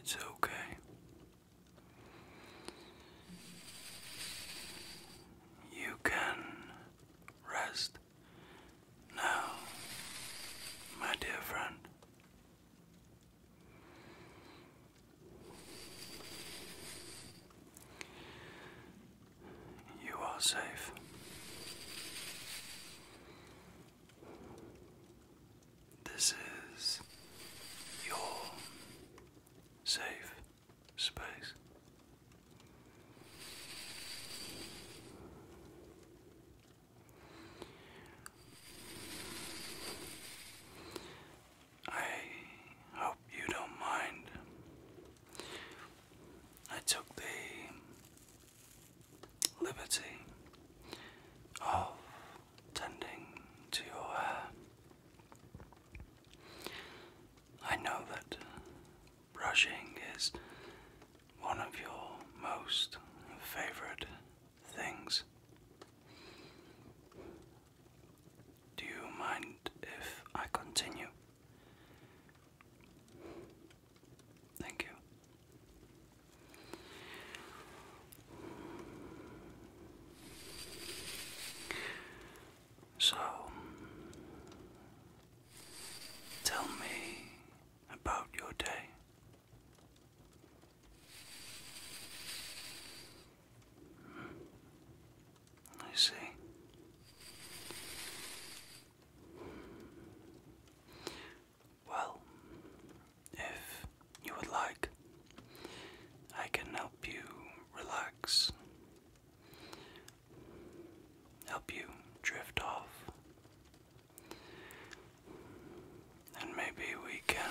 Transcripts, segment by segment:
It's okay. You can rest now, my dear friend. You are safe. This is your safe space. I hope you don't mind I took the liberty of tending to your I know that brushing is one of your most favorite things. Do you mind if I continue? Thank you. So, tell me about your day. I see. Well, if you would like, I can help you relax, help you drift off, and maybe we can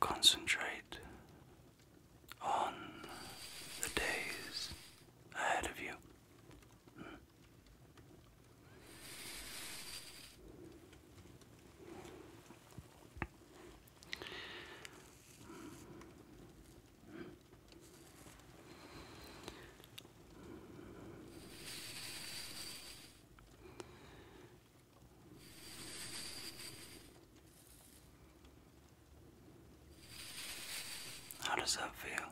concentrate on the days ahead of you. How does that feel?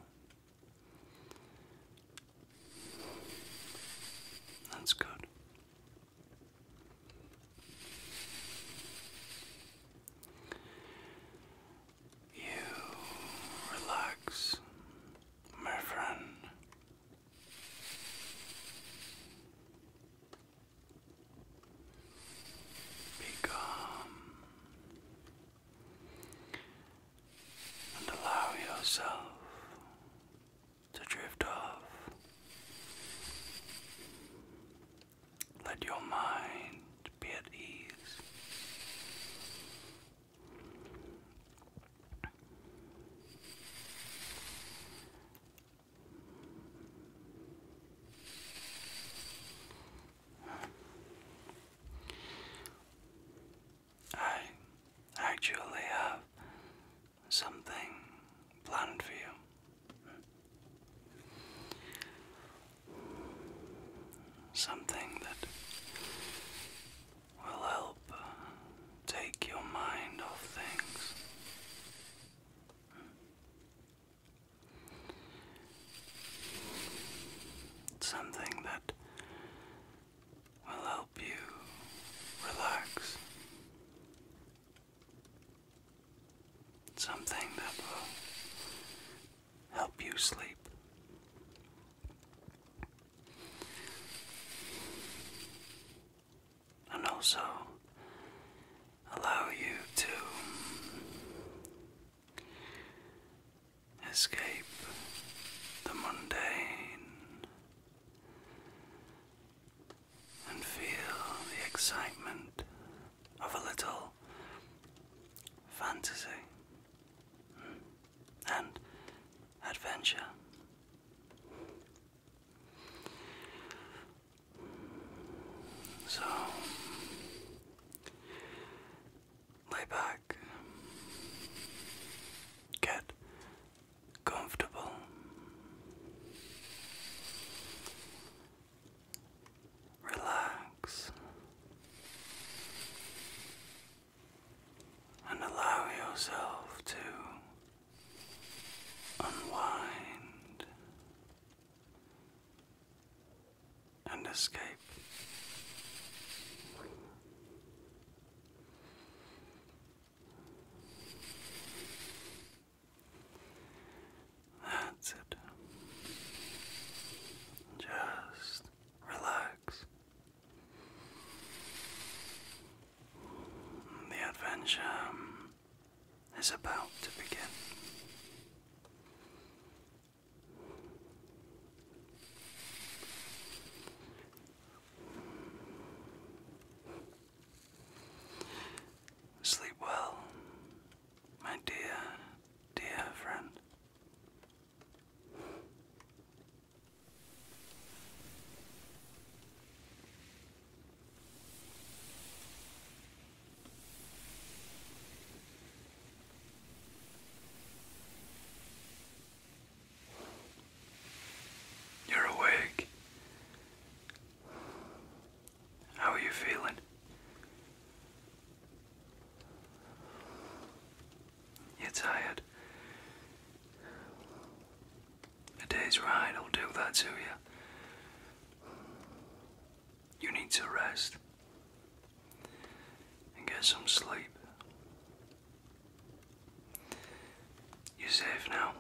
That's good. You relax, my friend calm and allow yourself to drift off. Let your mind be at ease. I actually have something planned for you. Something that will help take your mind off things. Something that will help you relax. Something that will help you sleep. And also allow you to escape the mundane and feel the excitement of a little fantasy and adventure. So lay back, get comfortable. Relax and allow yourself to unwind and escape. That's it. Just relax. The adventure is about to begin. Sleep well, my dear, dear friend. You're awake. How are you feeling? You're tired. A day's ride will do that to you. You need to rest and get some sleep. You're safe now.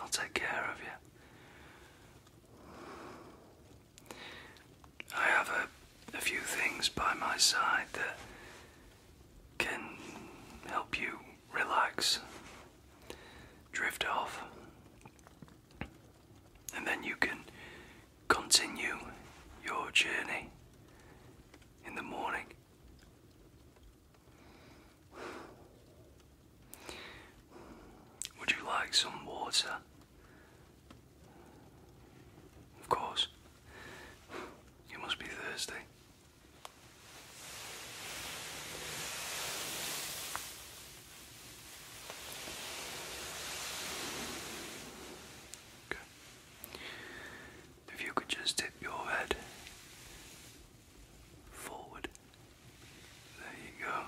I'll take care of you. I have a, few things by my side that can help you relax, drift off, and then you can continue your journey in the morning. Would you like some water? Of course. You must be thirsty. If you could just tip your head forward. There you go.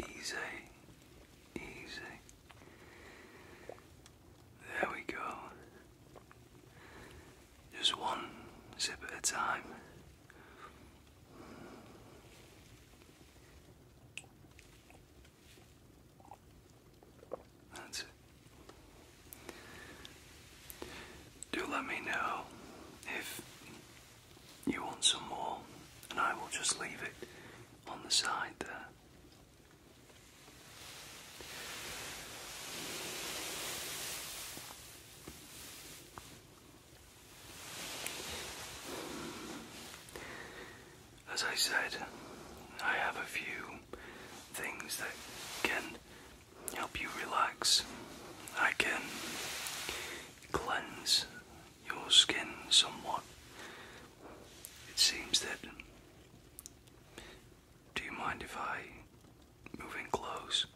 Easy. Easy. There we go. Just one sip at a time. That's it. Do let me know if you want some more, and I will just leave it on the side there. As I said, I have a few things that can help you relax. I can cleanse your skin somewhat. It seems that do you mind if I move in close?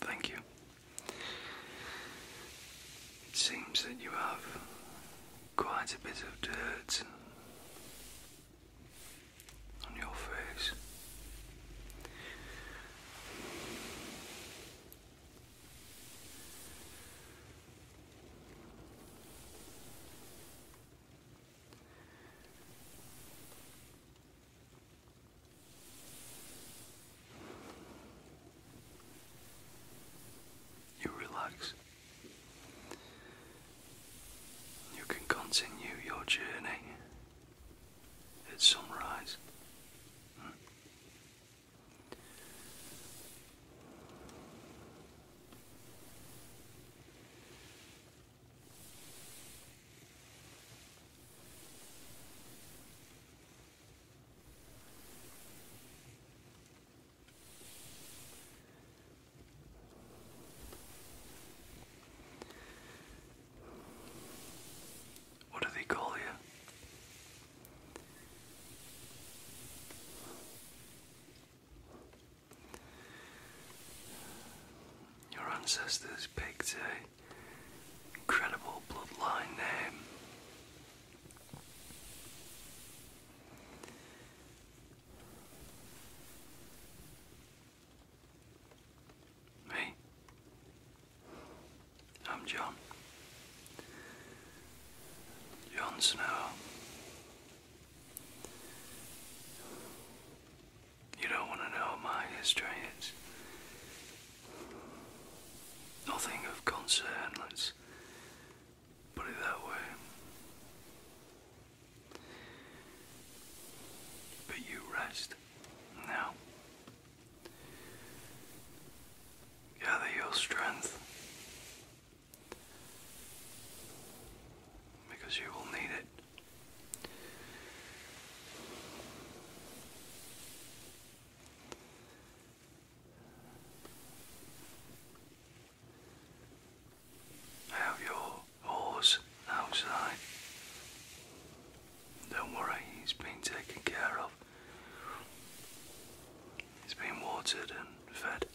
Thank you. It seems that you have quite a bit of dirt on your face. You relax. You can continue your journey at sunrise. Hmm. What do they call you? Your ancestors picked a incredible bloodline name. Me? I'm John. Jon Snow. Uh, you don't want to know my history. It's nothing of concern, let's put it that way. But you rest now. Gather your strength because you will need it. Have your horse outside. Don't worry, he's taken care of. He's watered and fed.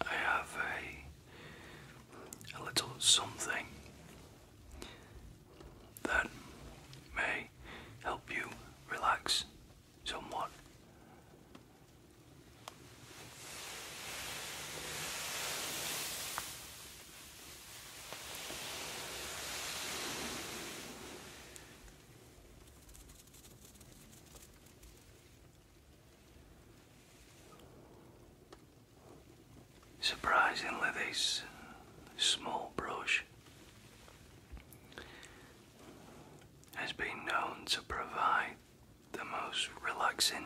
I have a, little something that may help you relax somewhat. Surprisingly, this small brush has been known to provide the most relaxing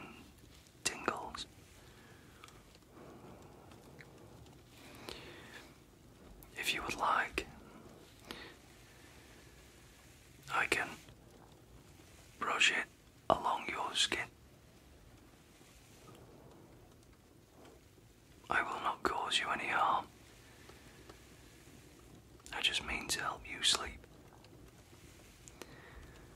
tingles. If you would like, I can brush it along your skin. I will not cause you any harm. I just mean to help you sleep.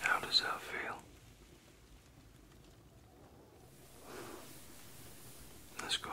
How does that feel? That's good.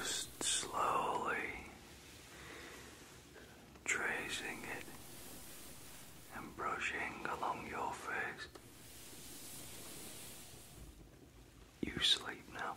Just slowly tracing it and brushing along your face. You sleep now.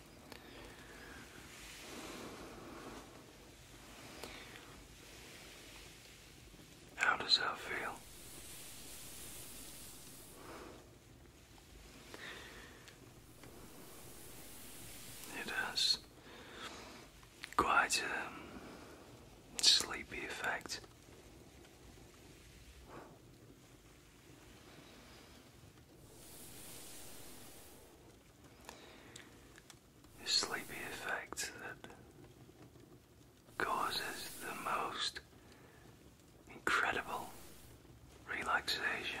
How does that feel? It has quite a sleepy effect. The sleepy effect that causes the most incredible relaxation.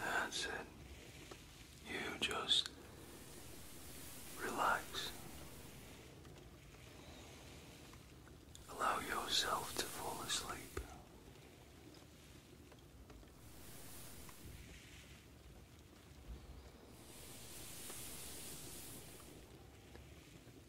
That's it. You just relax. Allow yourself to fall asleep.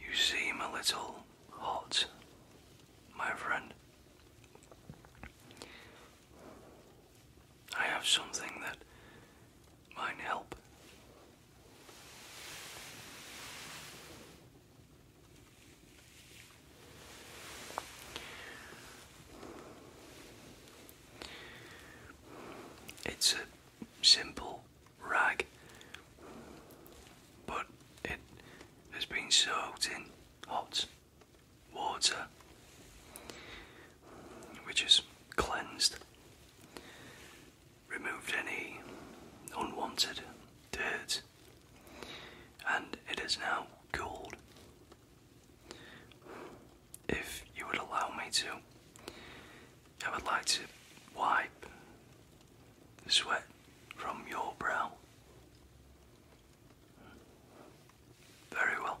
You seem a little hot, my friend. I have something that might help it's a simple rag, but it has been soaked in hot water, which is cleansed removed any unwanted dirt, and it is now cooled. If you would allow me to, I would like to wipe the sweat from your brow. Very well.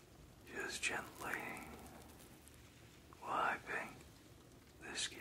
Just gently wiping the skin.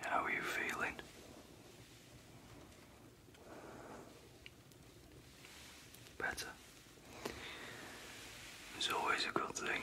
How are you feeling? Better. always a good thing.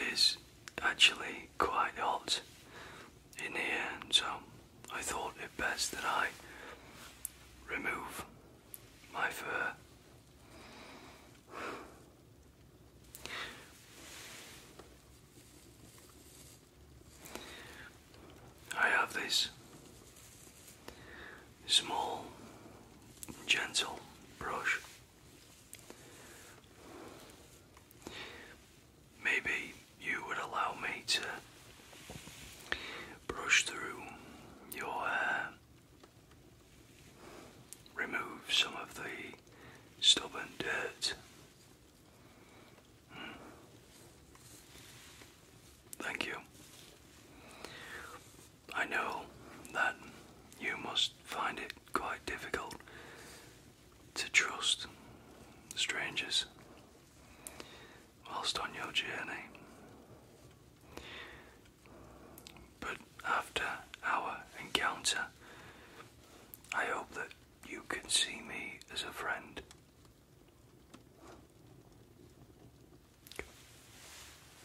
It is actually quite hot in here, so I thought it best that I remove my fur. I have this small, gentle brush. Maybe you would allow me to brush through your hair, remove some of the stubborn dirt. Hmm. Thank you. I know that you must find it quite difficult to trust strangers whilst on your journey. But after our encounter, I hope that you can see me as a friend.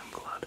I'm glad.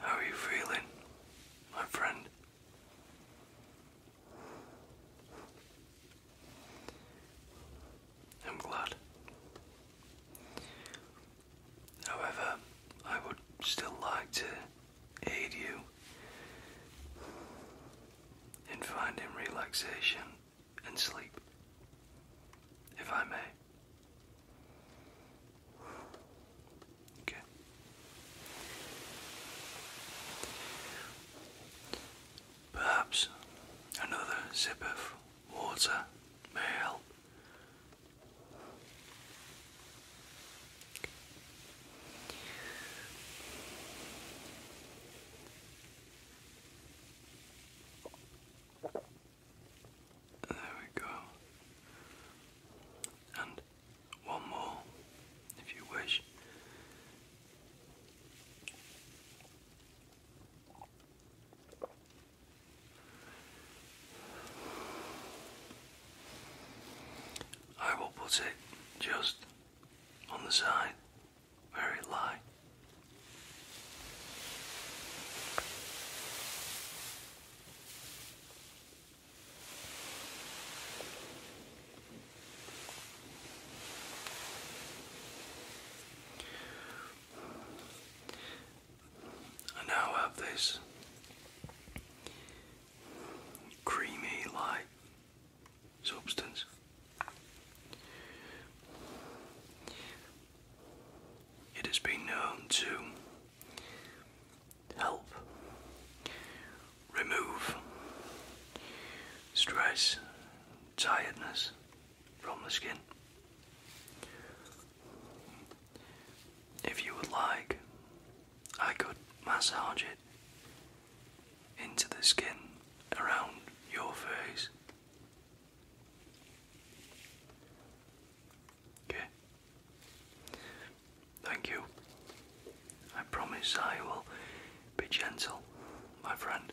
How are you feeling, my friend? I'm glad. However, I would still like to aid you in finding relaxation and sleep, if I may. Okay. Perhaps another sip of water may help there we go. And one more, if you wish. I will put it just on the side where it lies. I now have this creamy light substance. It has been known to help remove stress, tiredness from the skin. If you would like, I could massage it into the skin around your face. Okay. Thank you. I promise I will be gentle, my friend.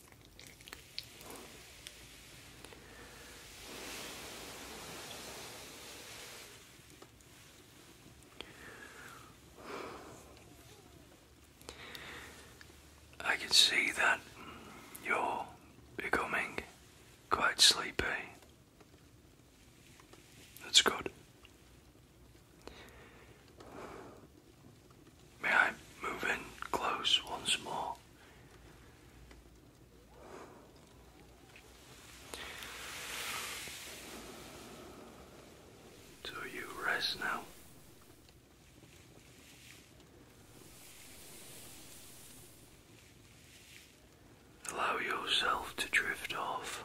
I can see that you're becoming quite sleepy. That's good. May I move in close once more? So you rest now. Allow yourself to drift off.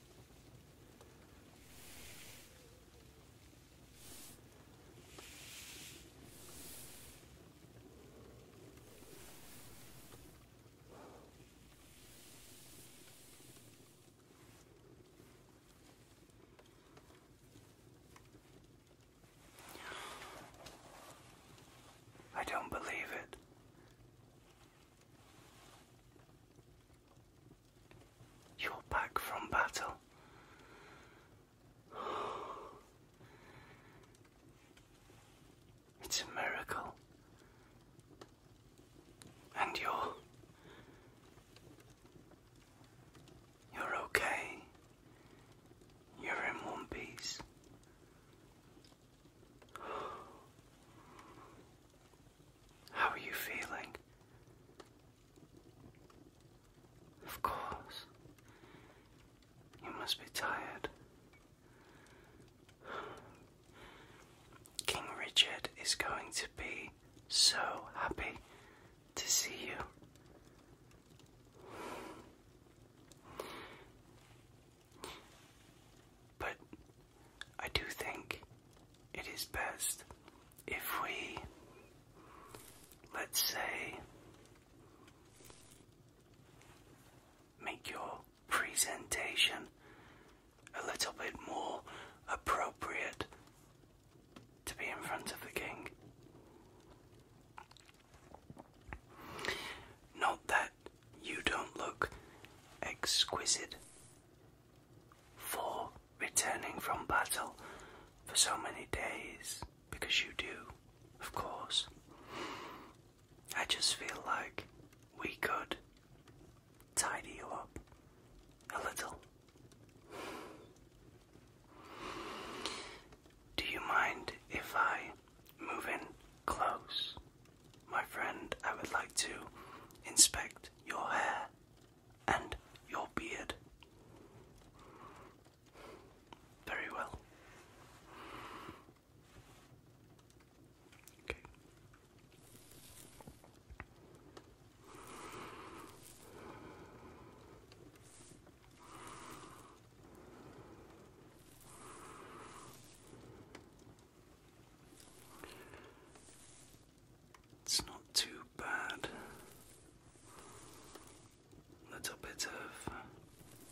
I don't believe it. You're back from battle. It's a miracle. And you're. You're okay. You're in one piece. How are you feeling? Of course. You must be tired. King Richard is going to be so happy to see you. But I do think it is best if we, let's say, make your presentation a little bit more appropriate to be in front of the king. Not that you don't look exquisite for returning from battle for so many days, because you do, of course. I just feel like we could tidy you up a little. Do you mind if I move in close my friend, I would like to inspect your hair and your beard. Very well. Okay. It's not too bad. Little bit of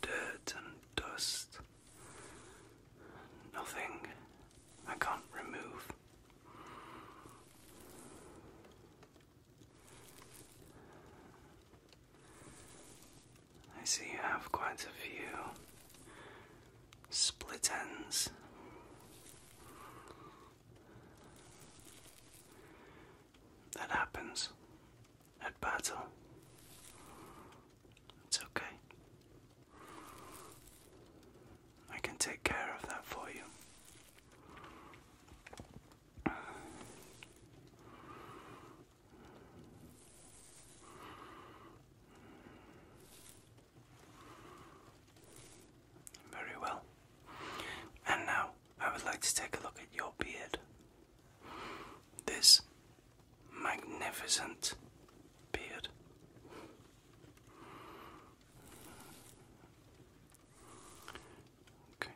dirt and dust. Nothing I can't remove. I see you have quite a few split ends. That happens at battle. It's okay. I can take care of that for you. Very well. And now I would like to take a look at your beard. This magnificent beard. Okay.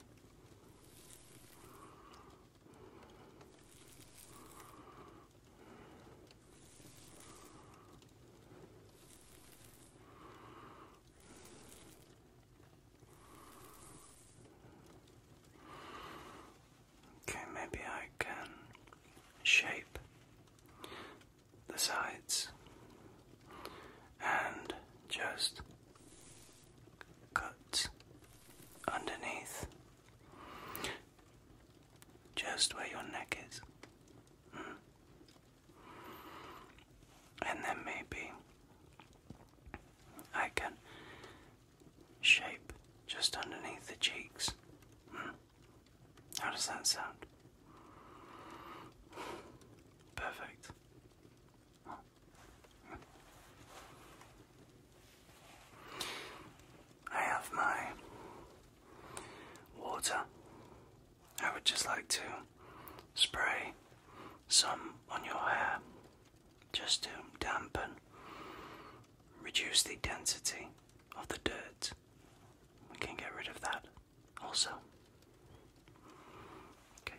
Okay, maybe I can shape the sides and just cut underneath just where your neck is. Hmm. And then maybe I can shape just underneath the cheeks. Hmm. How does that sound? Perfect. I have my water I would just like to spray some on your hair just to dampen, reduce the density of the dirt. We can get rid of that also. Okay.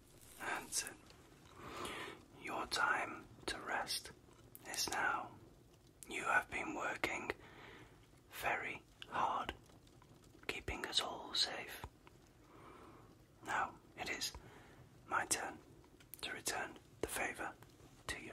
That's it. Your time to rest is now. You have been working very hard, keeping us all safe. Now it is my turn to return the favour to you.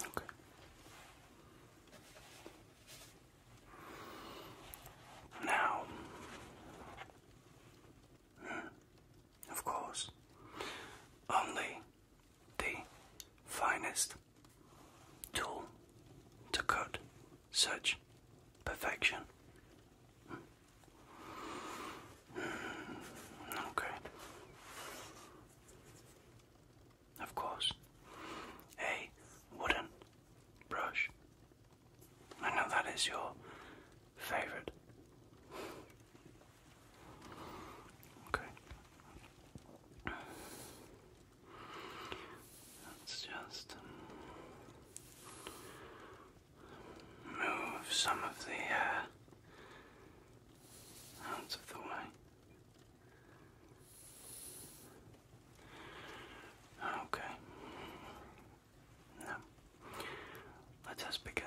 Okay. Now, of course, only the finest tool to cut such perfection. Hmm. Okay. Of course. A wooden brush. I know that is your favorite. Okay. Let's just move some of the uh, out of the way. Okay. let us begin.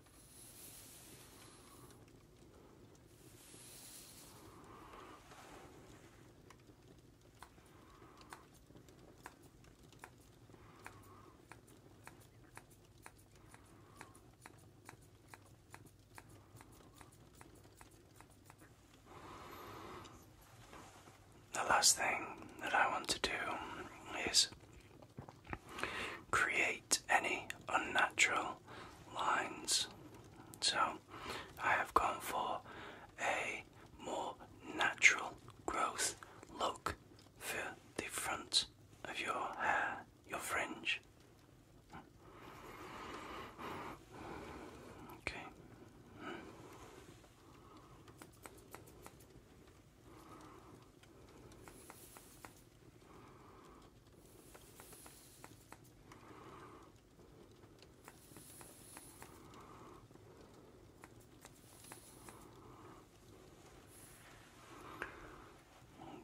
The last thing that I want to do is create any unnatural lines. So I have gone for a more natural growth look for the front of your hair, your fringe. Okay.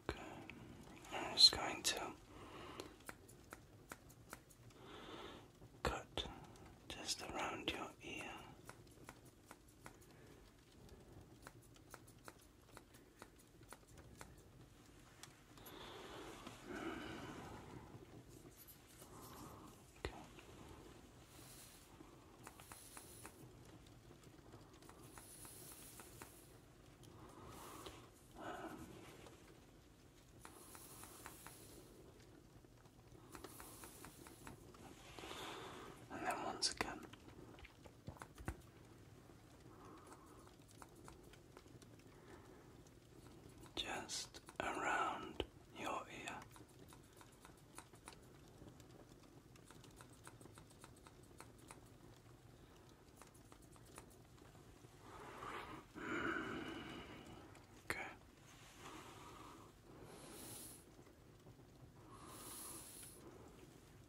Okay, I'm just going to cut just around your ear. Okay. Um. And then once again, just around your ear. Okay.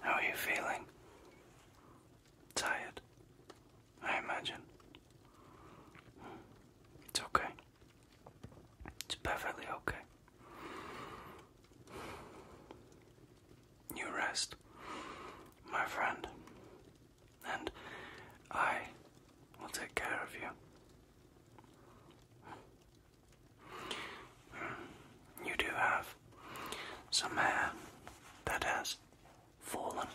How are you feeling? Tired, I imagine. It's okay. It's perfectly okay. You rest, my friend, and I will take care of you. You do have some hair that has fallen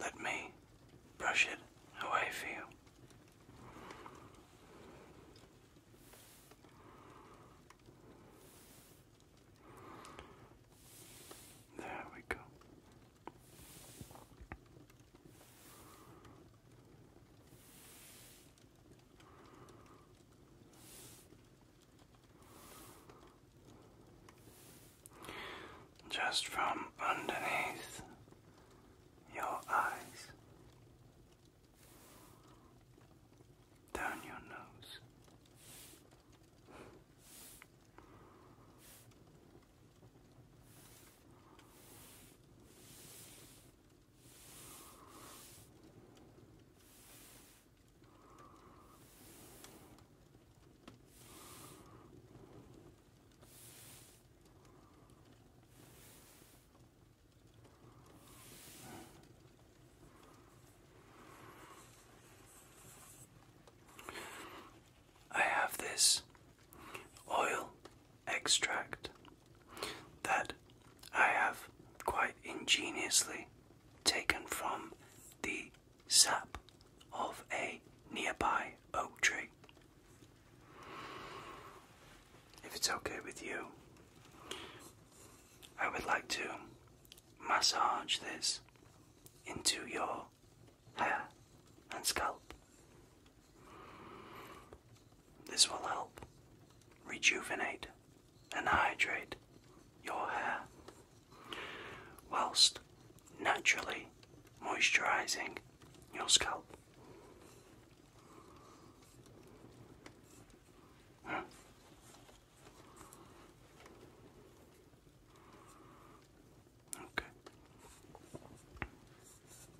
let me brush it away for you. There we go just from underneath your eyes down your nose. I have this oil extract that I have quite ingeniously taken from the sap of a nearby oak tree. If it's okay with you, I would like to massage this into your hair and scalp this will help rejuvenate and hydrate your hair whilst naturally moisturizing your scalp. Hmm. Okay.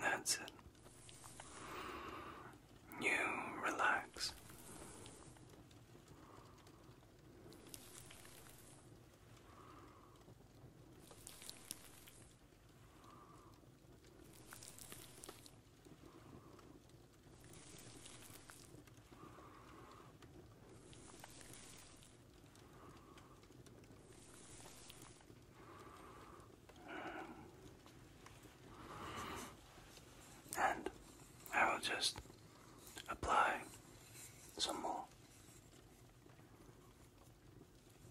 That's it. You relax. And I will just apply some more.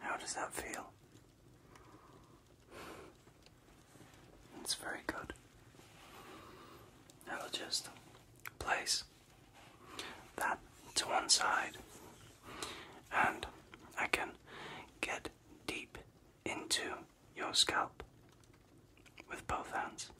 How does that feel? It's very good. I will just place that to one side and I can get deep into your scalp with both hands.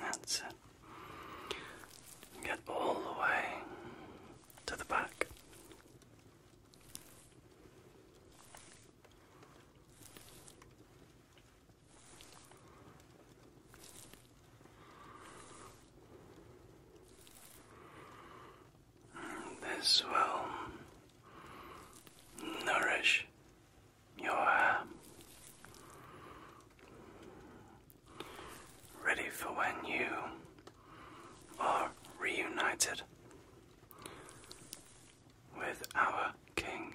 That's it. Get all the way to the back. This will nourish your hair, ready for when you are reunited with our king.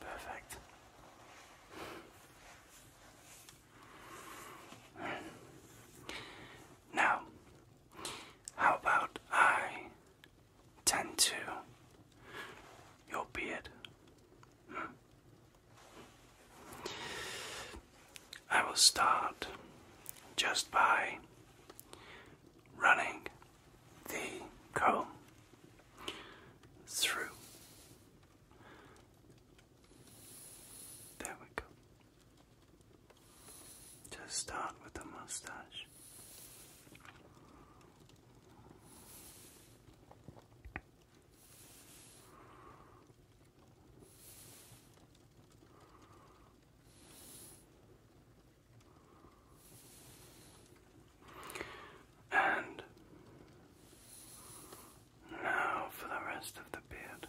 Perfect. Now, how about I tend to your beard? I will start just by running the comb through. There we go. Just start with the mustache. And now for the rest of the beard.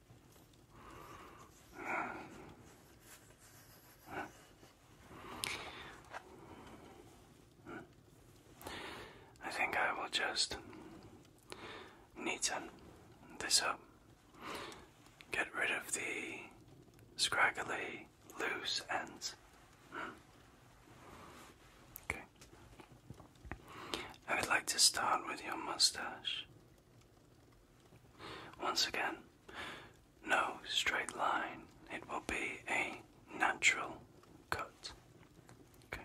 I think I will just neaten this up, get rid of the scraggly loose ends. Hmm. Okay. I would like to start with your mustache. Once again, no straight line. It will be a natural cut. Okay.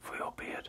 for your beard.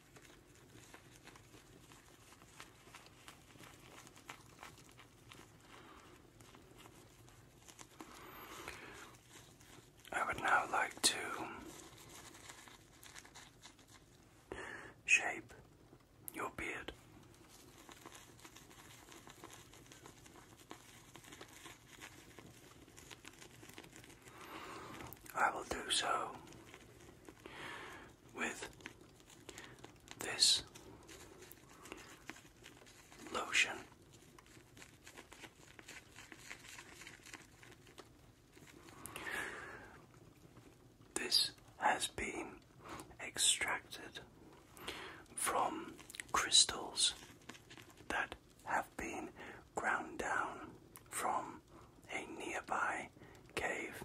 I would now like to shape your beard. I will do so with this lotion. This has been extracted from crystals that have been ground down from a nearby cave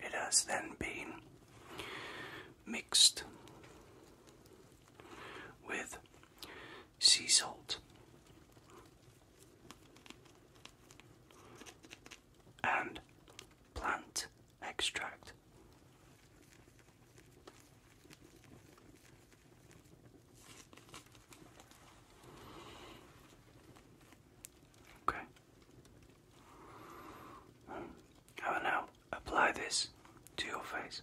It has then been mixed with sea salt and plant extract. Okay now apply this to your face.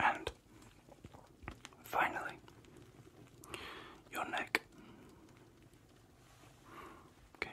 And finally, your neck. Okay.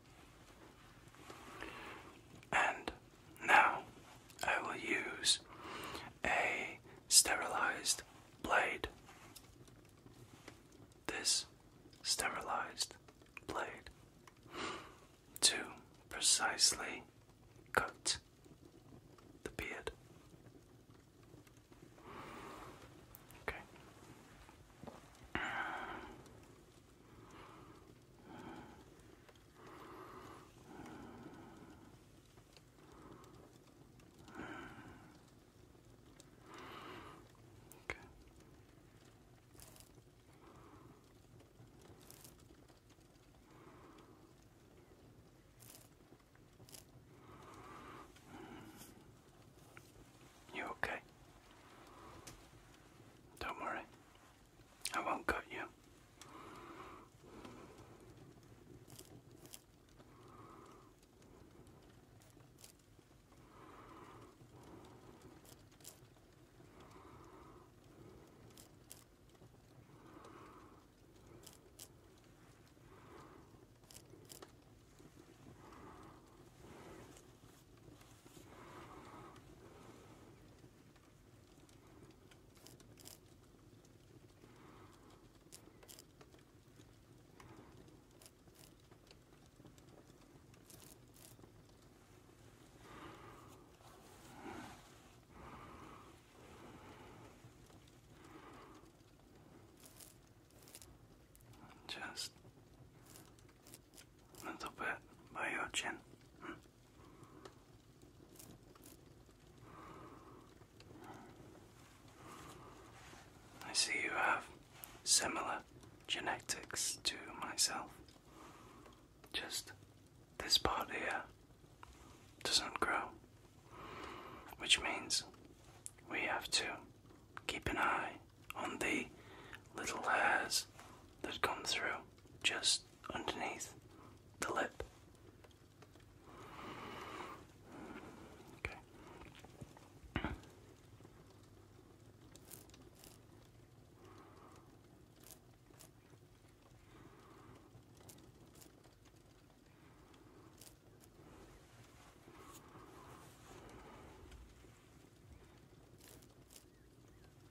And now I will use a sterilized blade. This sterilized blade to precisely cut the beard. Okay. You okay? Don't worry. I won't cut you. Just a little bit by your chin. Hmm. I see you have similar genetics to myself. Just this part here doesn't grow, which means we have to keep an eye on the little hairs that come through just underneath the lip. Okay.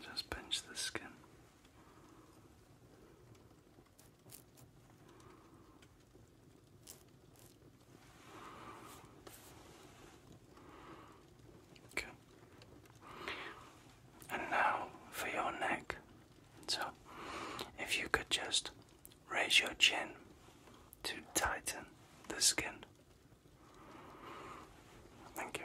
Just pinch the skin. And now for your neck. So, if you could just raise your chin to tighten the skin. Thank you.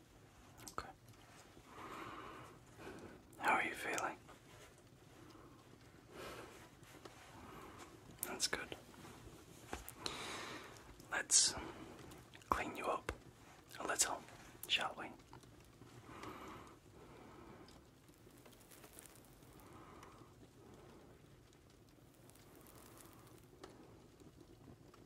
Okay. How are you feeling? That's good. Let's clean you up a little, shall we?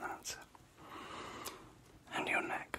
That's it. And your neck.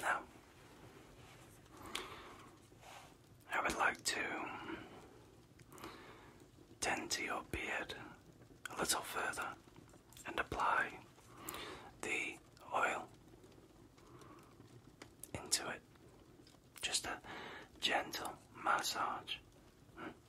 Now, I would like to tend to your beard a little further and apply the oil into it. Just a gentle massage. Hmm?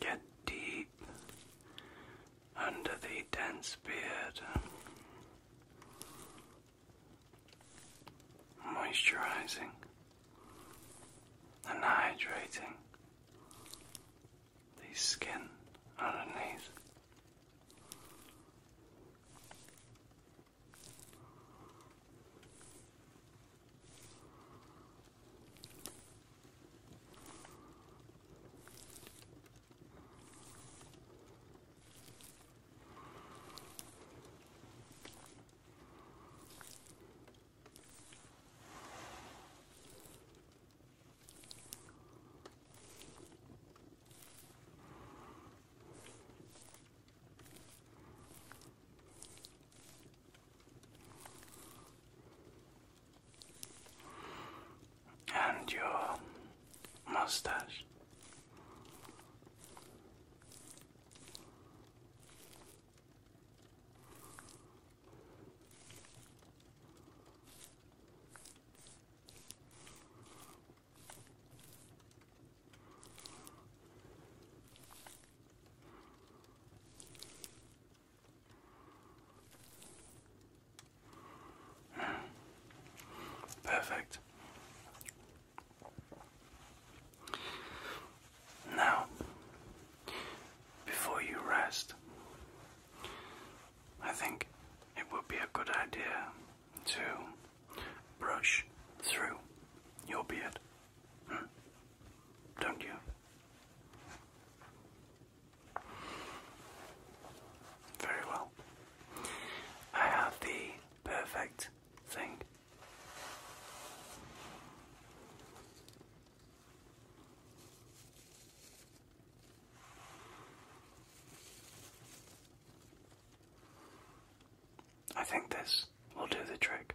Get deep under the dense beard. Moisturizing and hydrating the skin underneath and your mustache. Perfect. Now, before you rest, I think it would be a good idea to brush through your beard, hmm. don't you? Very well. I have the perfect thing. I think this will do the trick.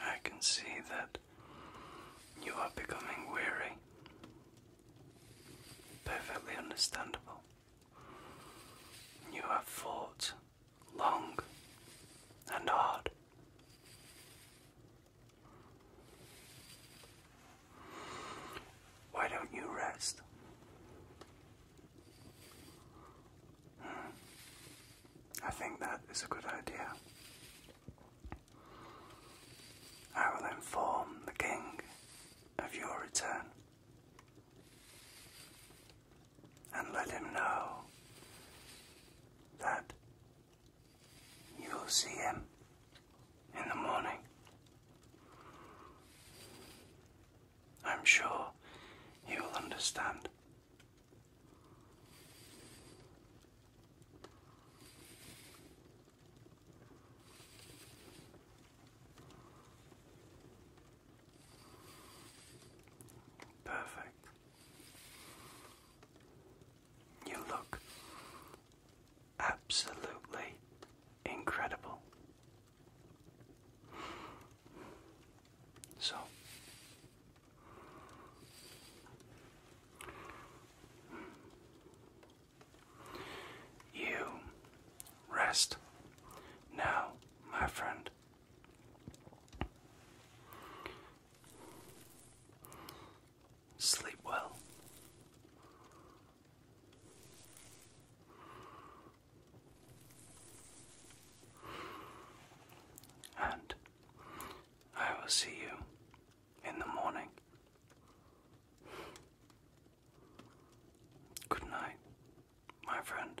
I can see that you are becoming weary. Perfectly understandable. You have fought long and hard. Why don't you rest? Hmm. I think that is a good idea. I will inform the king of your return and let him know that you will see him in the morning. I'm sure he will understand. Perfect. You look absolutely incredible. So, you rest now, my friend. Sleep well. And I will see you in the morning. Good night, my friend.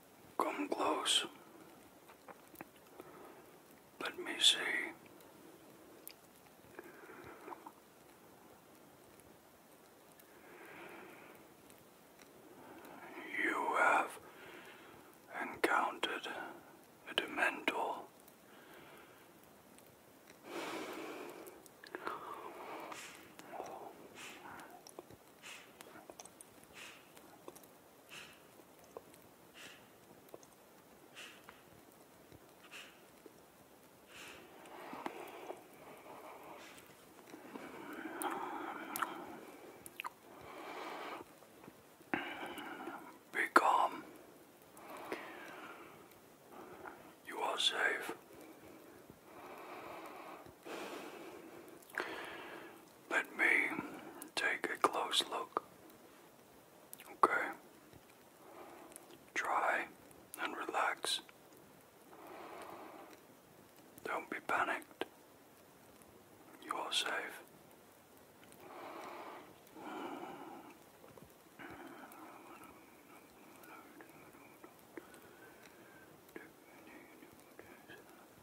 Come close. Let me see. You have encountered a Dementor. Be calm. You are safe. Let me take a close look. Okay? Try and relax. Don't be panicked. You are safe.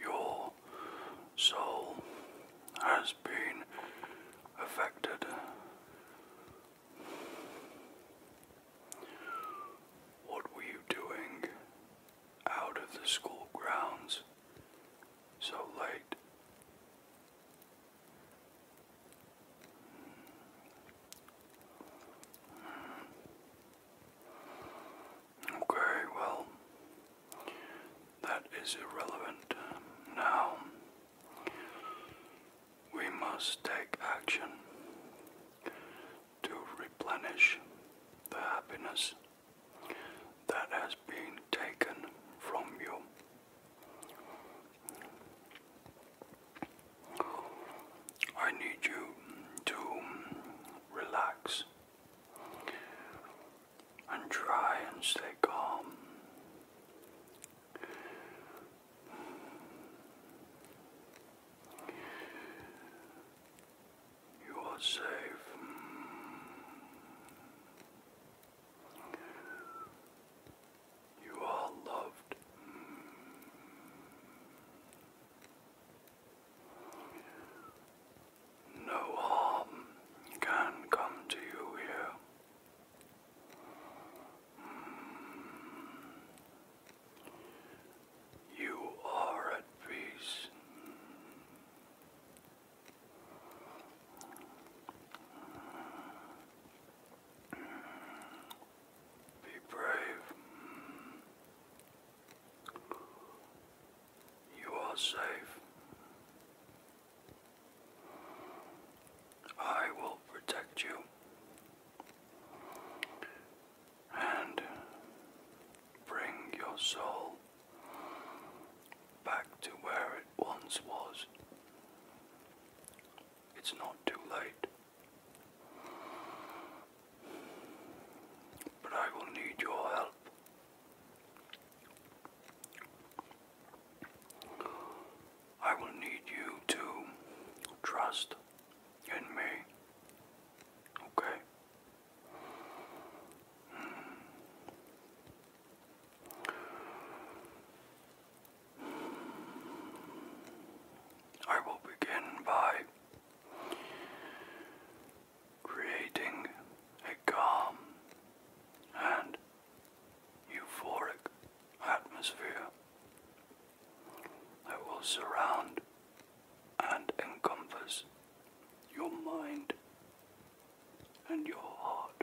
Your soul has been affected. What were you doing out of the school grounds so late? Okay, well, that is irrelevant. Now we must take action to replenish the happiness that has been taken from you. I need you to relax and try and stay calm. You are safe. You are loved. No harm can come to you here. You are at peace. Be brave. You are safe. I will protect you and bring your soul back to where it once was. It's not too late. But I will need your help. I will need you to trust in me. Okay? Hmm. I will begin by creating a calm and euphoric atmosphere that will surround and encompass your mind and your heart.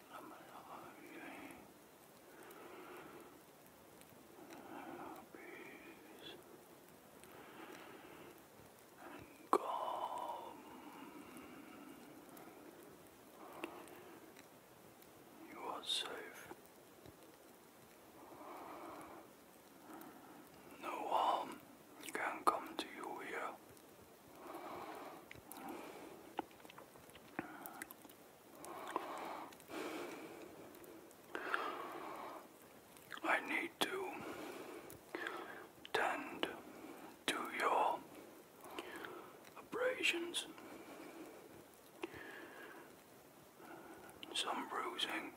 peace and calm. You are safe. No harm can come to you here. I need to tend to your abrasions, some bruising.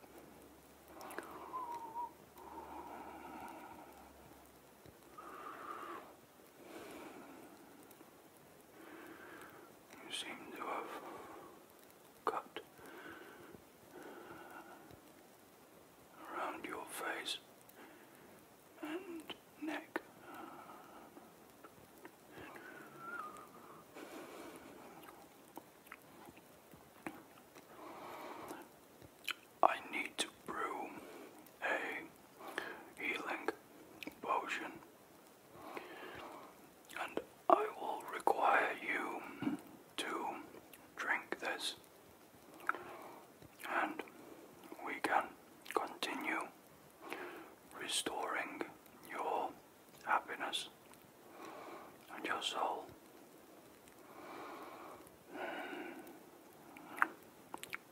You seem to have cut around your face and neck. I need to brew a healing potion, and I will require you to drink this, and we can continue restoring your happiness and your soul.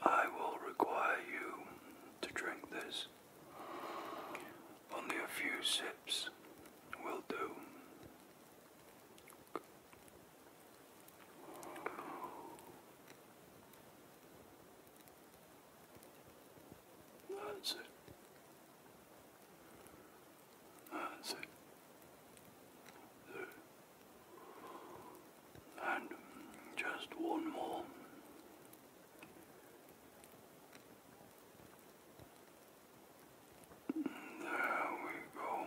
I will require you to drink this. Only a few sips will do. That's it. And just one more. There we go.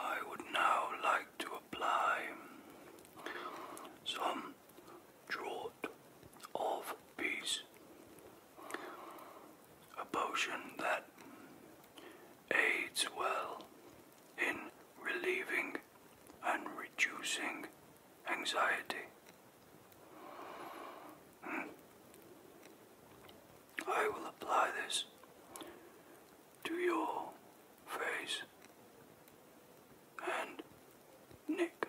I would now like to apply some draught of peace a potion that aids well in relieving and reducing anxiety. Hmm. I will apply this to your face and neck.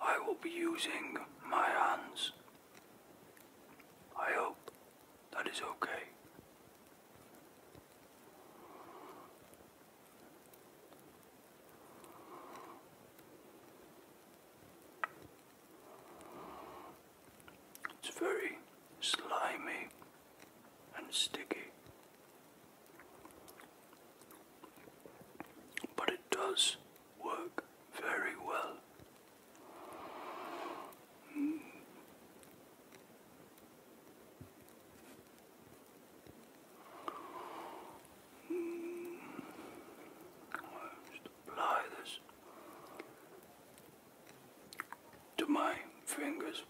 I will be using my hands. I hope that is okay. It's very slimy and sticky. But it does work very well. I'll mm. apply this to my fingers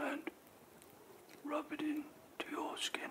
and rub it into your skin.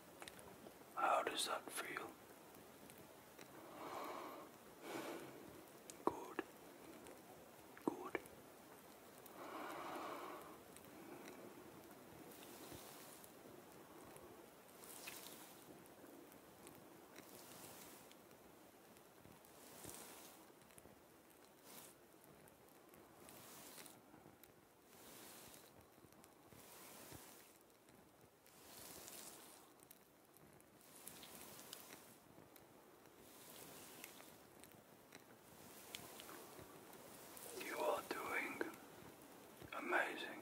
How does that feel? Good. Good. You are doing amazing.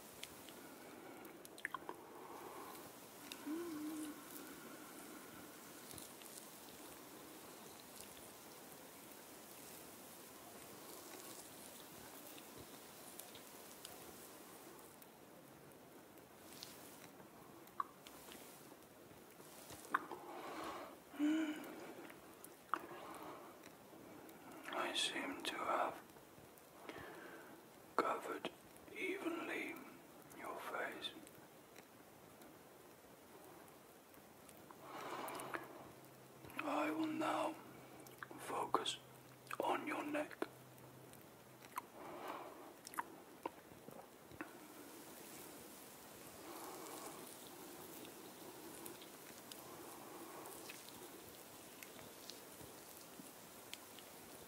I seem to have covered evenly your face. I will now focus on your neck.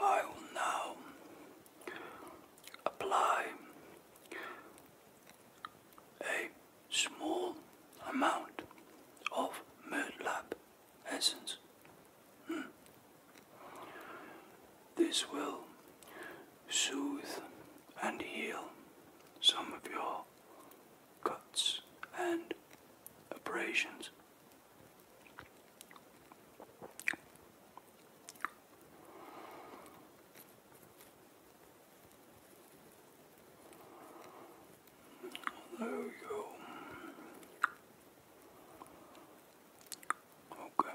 I will now apply a small amount of Myrtlap essence. Hmm. This will soothe and heal some of your cuts and abrasions. There we Okay.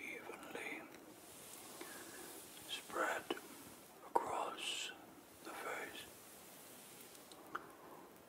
evenly spread across the face.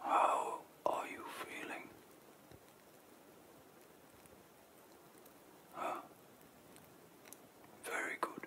How are you feeling? Huh? Very good.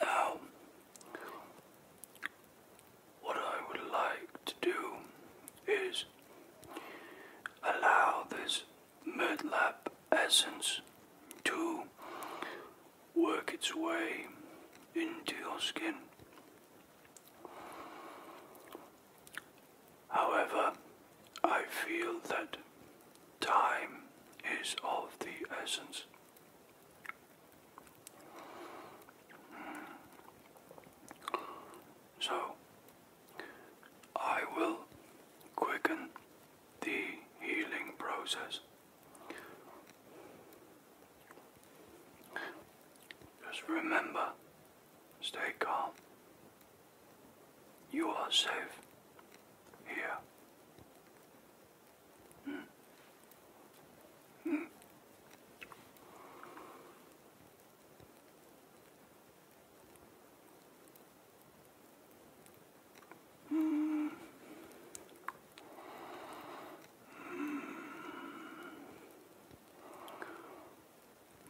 Now, what I would like to do is allow this mudlap essence to work its way into your skin. However, I feel that time is of the essence. Hmm. So, I will quicken the healing process. Just remember, stay calm, you are safe here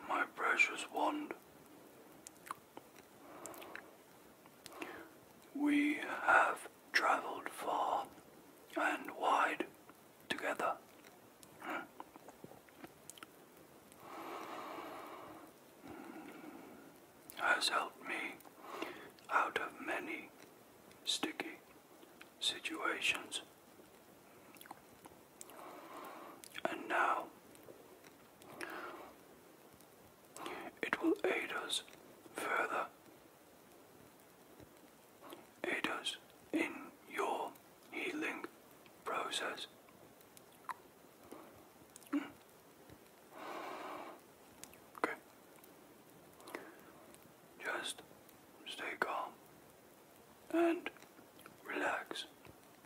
my precious wand. We have travelled far and wide together. Has helped me out of many sticky situations. And now it will aid us further, aid us in your healing process. Okay. Just stay calm and relax.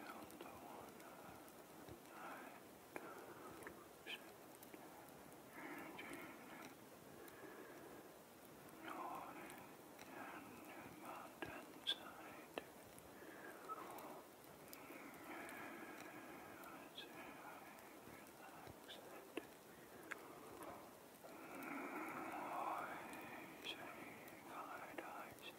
Delta One Nine North and Mountainside I relax it Why say guide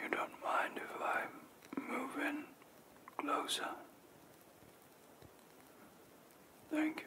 You don't mind if I move in closer? Thank you.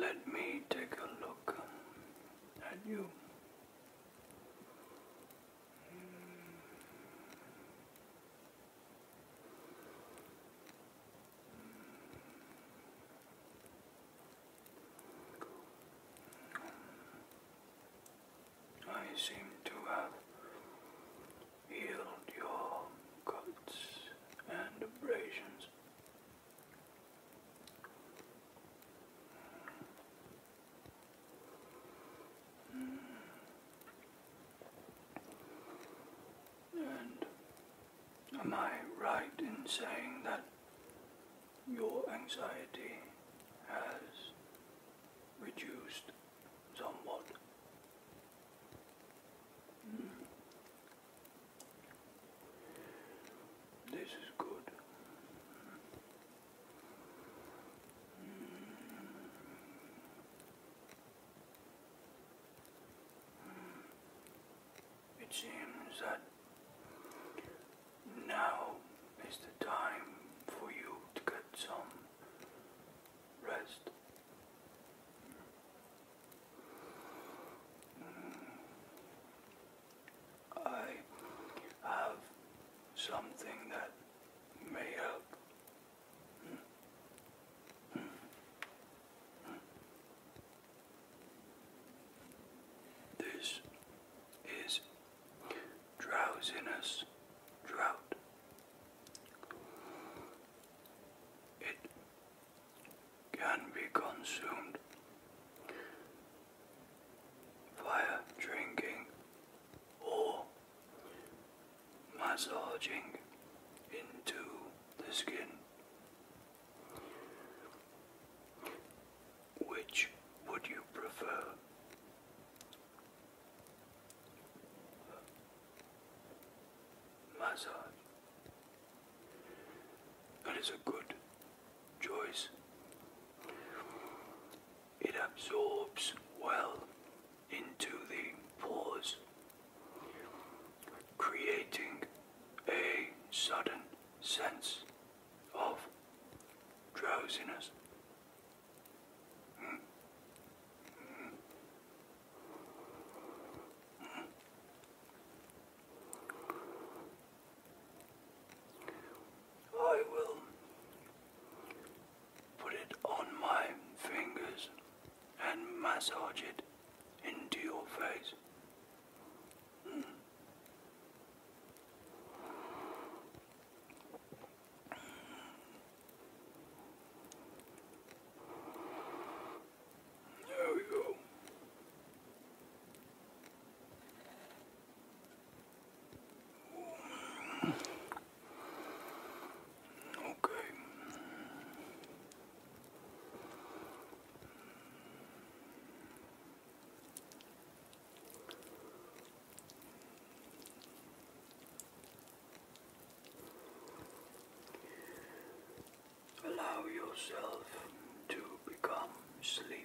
Let me take a look at you. I seem to have healed your cuts and abrasions am I right in saying that your anxiety has reduced somewhat? Hmm. This is good. It seems that now is the time for you to get some rest. Mm. I have something that may This is drowsiness drought. It can be consumed via drinking or massaging into the skin, which would you prefer? Massage. That is a good choice it absorbs well into the pores, creating a sudden sense of drowsiness. Hmm. Hmm. I will Put it on my fingers and massage it into your face. Mm. There we go. Okay. Allow yourself to become sleepy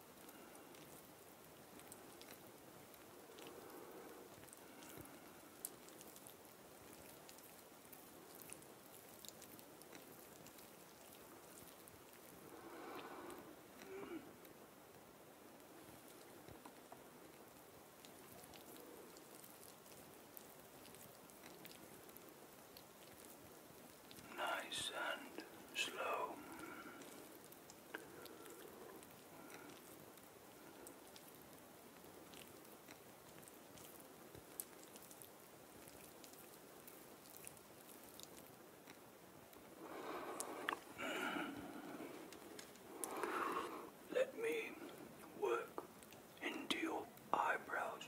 Nice and slow. Let me work into your eyebrows.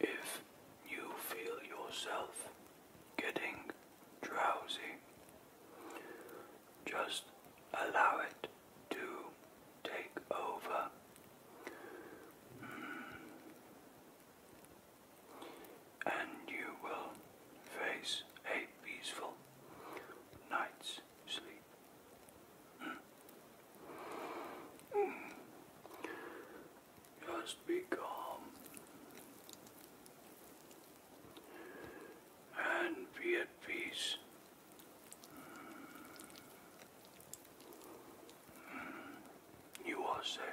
If you feel yourself getting drowsy, just allow it to take over and you will face a peaceful night's sleep. Hmm. Hmm. Just be calm and be at peace. Hmm. You are safe.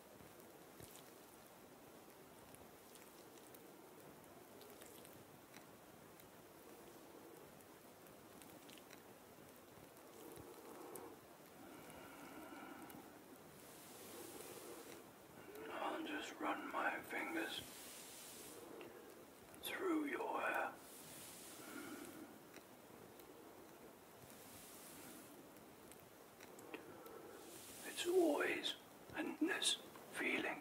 I'll just run my fingers through your hair. It's always endless feeling.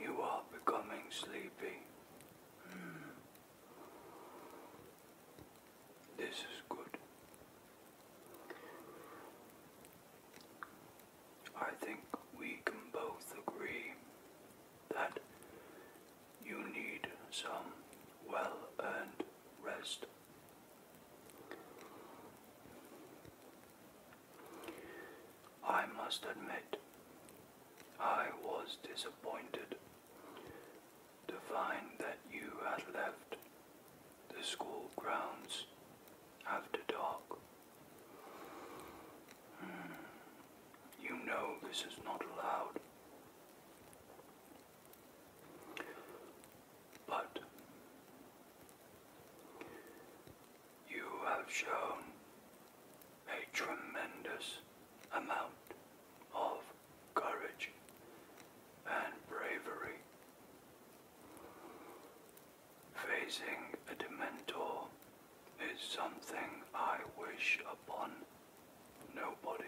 You are becoming sleepy. Hmm. This is good. I think we can both agree that you need some well earned rest. I must admit, I was disappointed to find that you had left the school grounds after dark. Hmm, you know this is not allowed. But you have shown a tremendous amount of courage and bravery. Facing a Dementor is something I wish upon Nobody.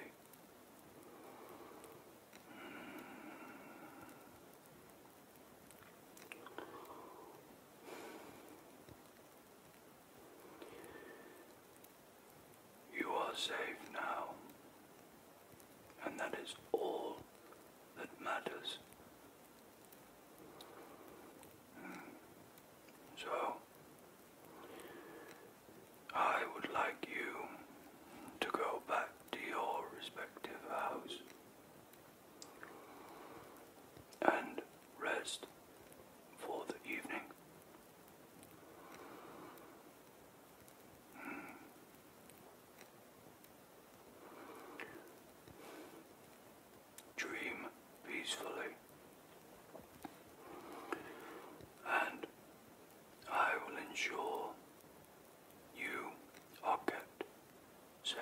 You are safe now, and that is all that matters. So, I would like you to go back to your respective house and rest for the evening. Hmm. Dream peacefully and I will ensure you are kept safe.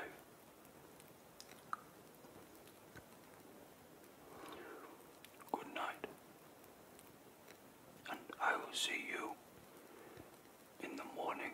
Good night, and I will see you in the morning.